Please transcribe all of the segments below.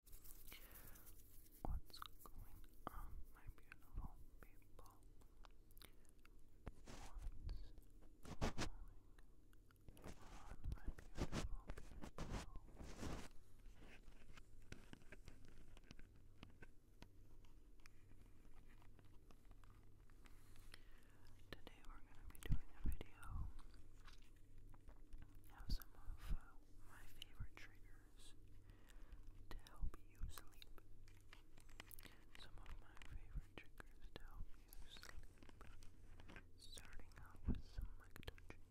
What's going on, my beautiful people? What's going on, my beautiful people? Today we're going to be doing a video have some of uh, my favorite triggers to help you sleep. Some of my favorite triggers to help you sleep. Starting off with some mic touching,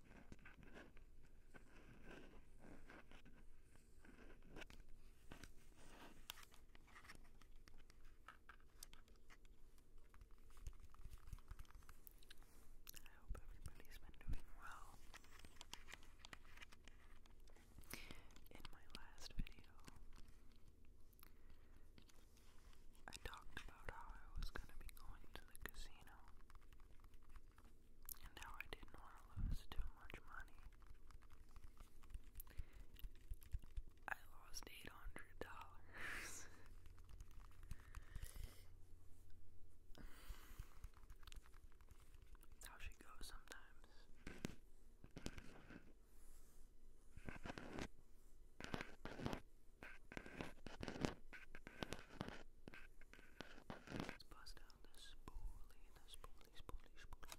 I hope everybody's been doing well. In my last video, I talked about how I was going to be going to the casino and how I didn't want to lose too much money. I lost eight hundred dollars. how she goes sometimes. Let's pass down the spoolie, the spoolie, spoolie, spoolie. Let's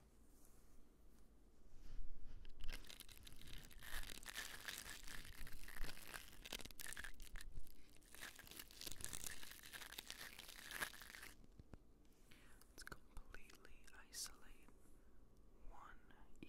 Let's completely isolate one ear.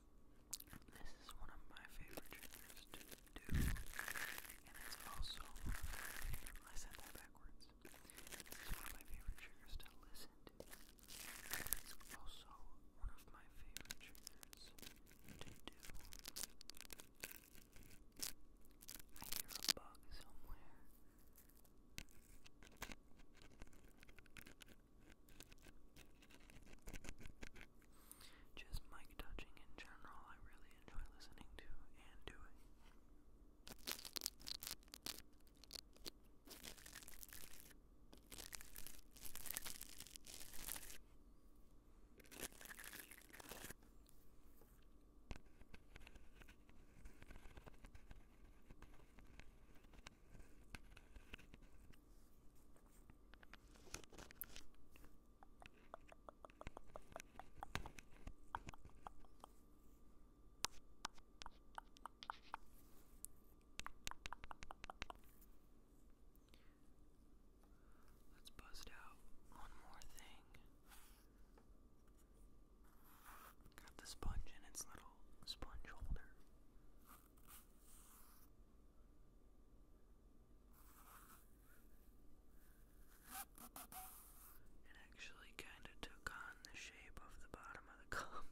This is one of my favorite triggers to do, and it's also, I said that backwards, this one of my favorite triggers to listen It's also one of my favorite triggers to do. I hear a bug somewhere. Just mic touching in general, I really enjoy listening to and doing. Let's bust out one more thing. Got the sponge in its little sponge holder. It actually kind of took on the shape of the bottom of the cup.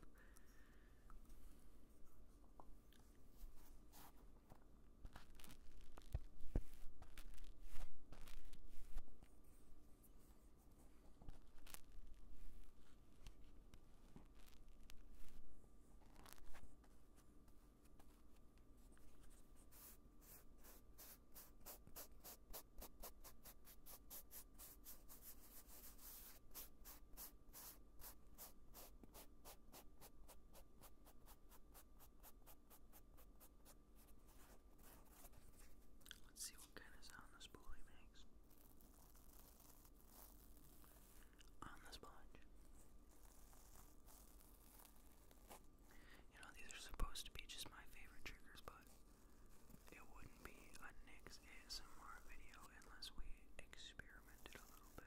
Let's see what kind of sound this bully makes on the sponge. You know, these are supposed to be just my favorite triggers, but it wouldn't be a NYX ASMR video unless we experimented a little bit.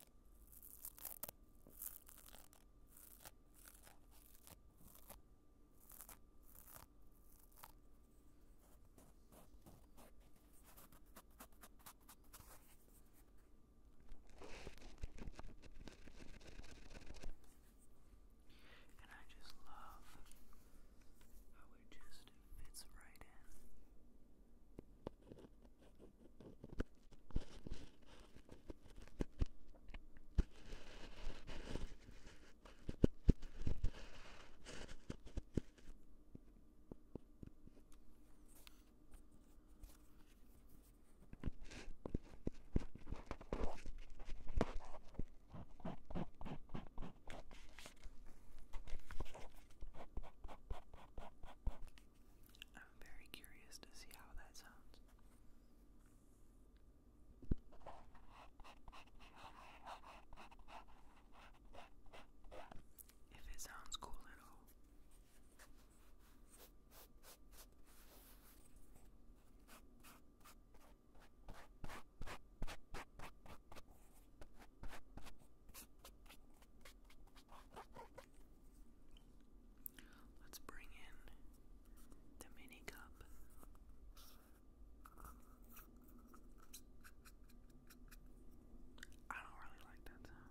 And I just love how it just fits right in. I'm very curious to see how that sounds. If it sounds cool at all. Let's bring in the mini cup. I don't really like that sound.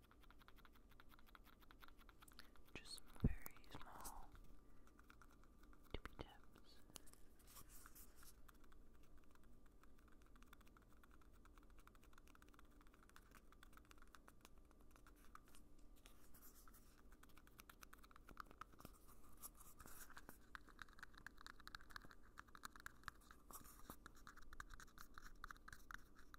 Just very small tippy taps.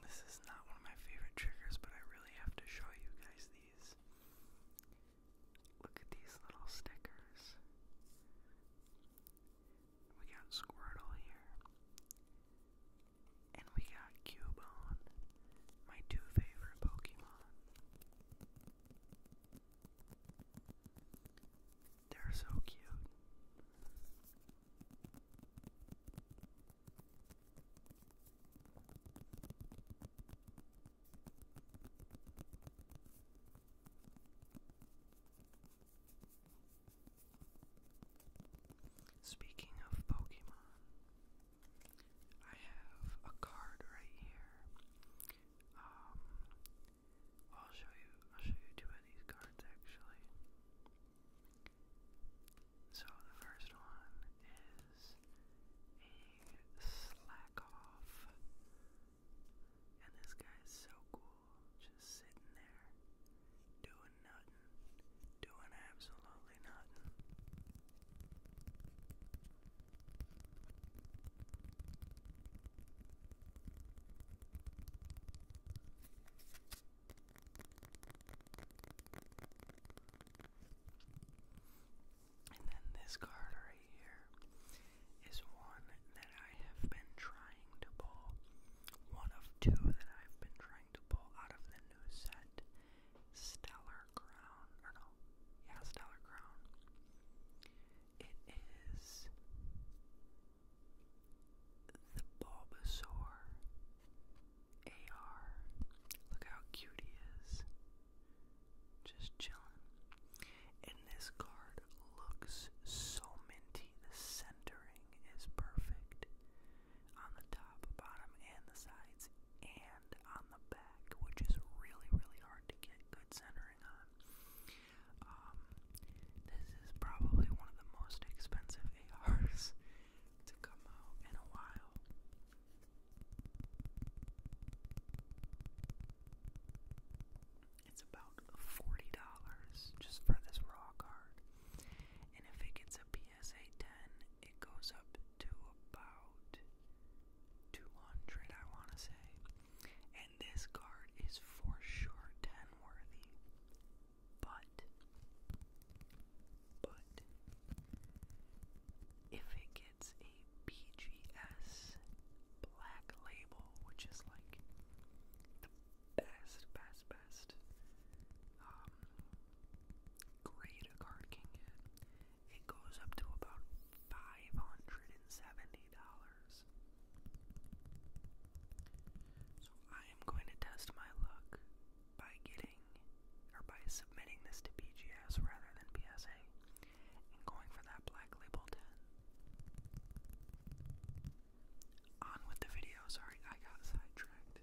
This is not one of my favorite triggers, but I really have to show you guys these. Look at these little stickers. We got Squirtle here. And we got Cubone, my two favorite Pokemon. They're so cute. Speaking of Pokemon, I have a card right here. Um, I'll show you. I'll show you two of these cards actually. So the first one is a slack off. And this guy is so cool, just sitting there, doing nothing, doing absolutely nothing. And then this card right here is one that I have been trying to pull. One of two that I've been trying to pull out of the new set. Stellar Crown. Or no. Yeah, Stellar Crown. It is the Bulbasaur AR. Look how cute he is. Just chilling. And this card looks so minty. The centering is perfect on the top, bottom, and the sides, and on the back, which is really, really hard to get good centering on. Um, this is probably one of the most expensive ARs to come out in a while. It's about $40 just for this raw card. And if it gets a PSA 10, it goes up to about 200, I want to say. And this card is for sure 10 worthy. But but if it gets a BGS black label, which is like the best, best, best um, grade a card can get, it goes up to about $570. So I am going to test my luck by getting or by submitting this to BGS rather than PSA and going for that black label On with the video, sorry, I got sidetracked.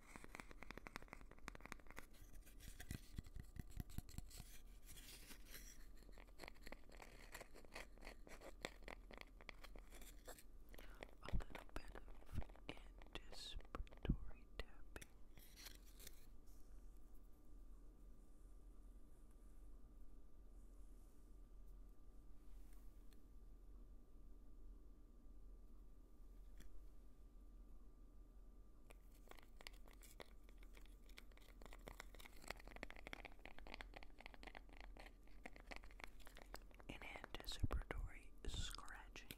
A little bit of anticipatory tapping. Good. An anticipatory scratching.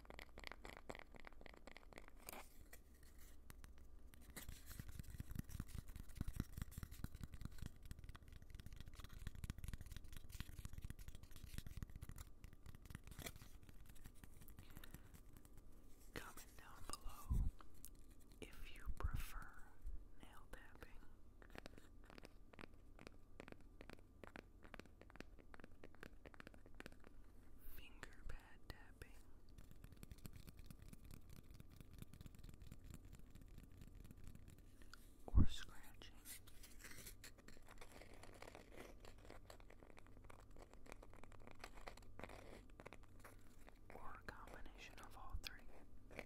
Comment down below if you prefer nail tapping Finger pad tapping. Or scratching. Or a combination of all three.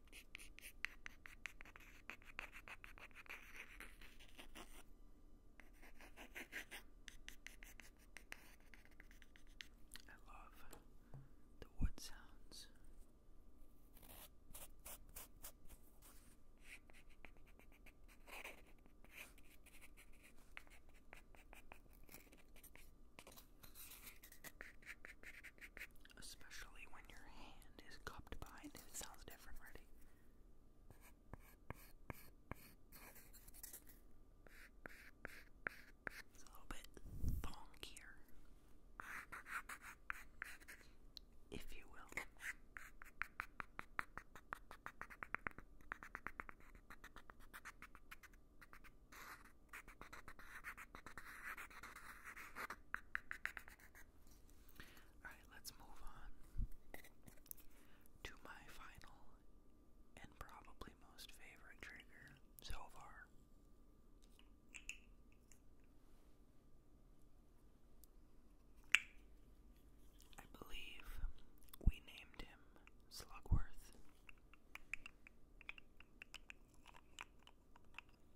I love the wood sounds especially when your hand is cupped behind it. sounds different, ready? It's a little bit thonkier, if you will. Alright, let's move on to my final and probably most favorite trigger so far. I believe we named him Slugworth.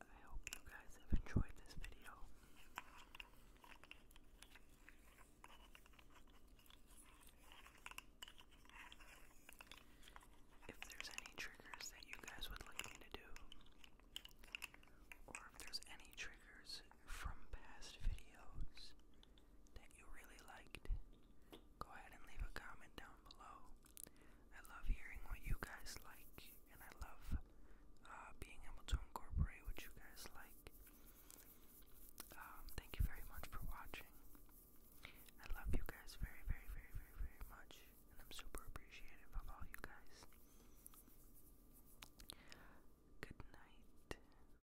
I hope you guys have enjoyed this video. If there's any triggers that you guys would like me to do, or if there's any triggers from past videos that you really liked, go ahead and leave a comment down below. I love hearing what you guys like, and I love uh, being able to incorporate what you guys like. Um, thank you very much for watching. I love you guys very, very, very, very, very much, and I'm super appreciative of all you guys. Good night.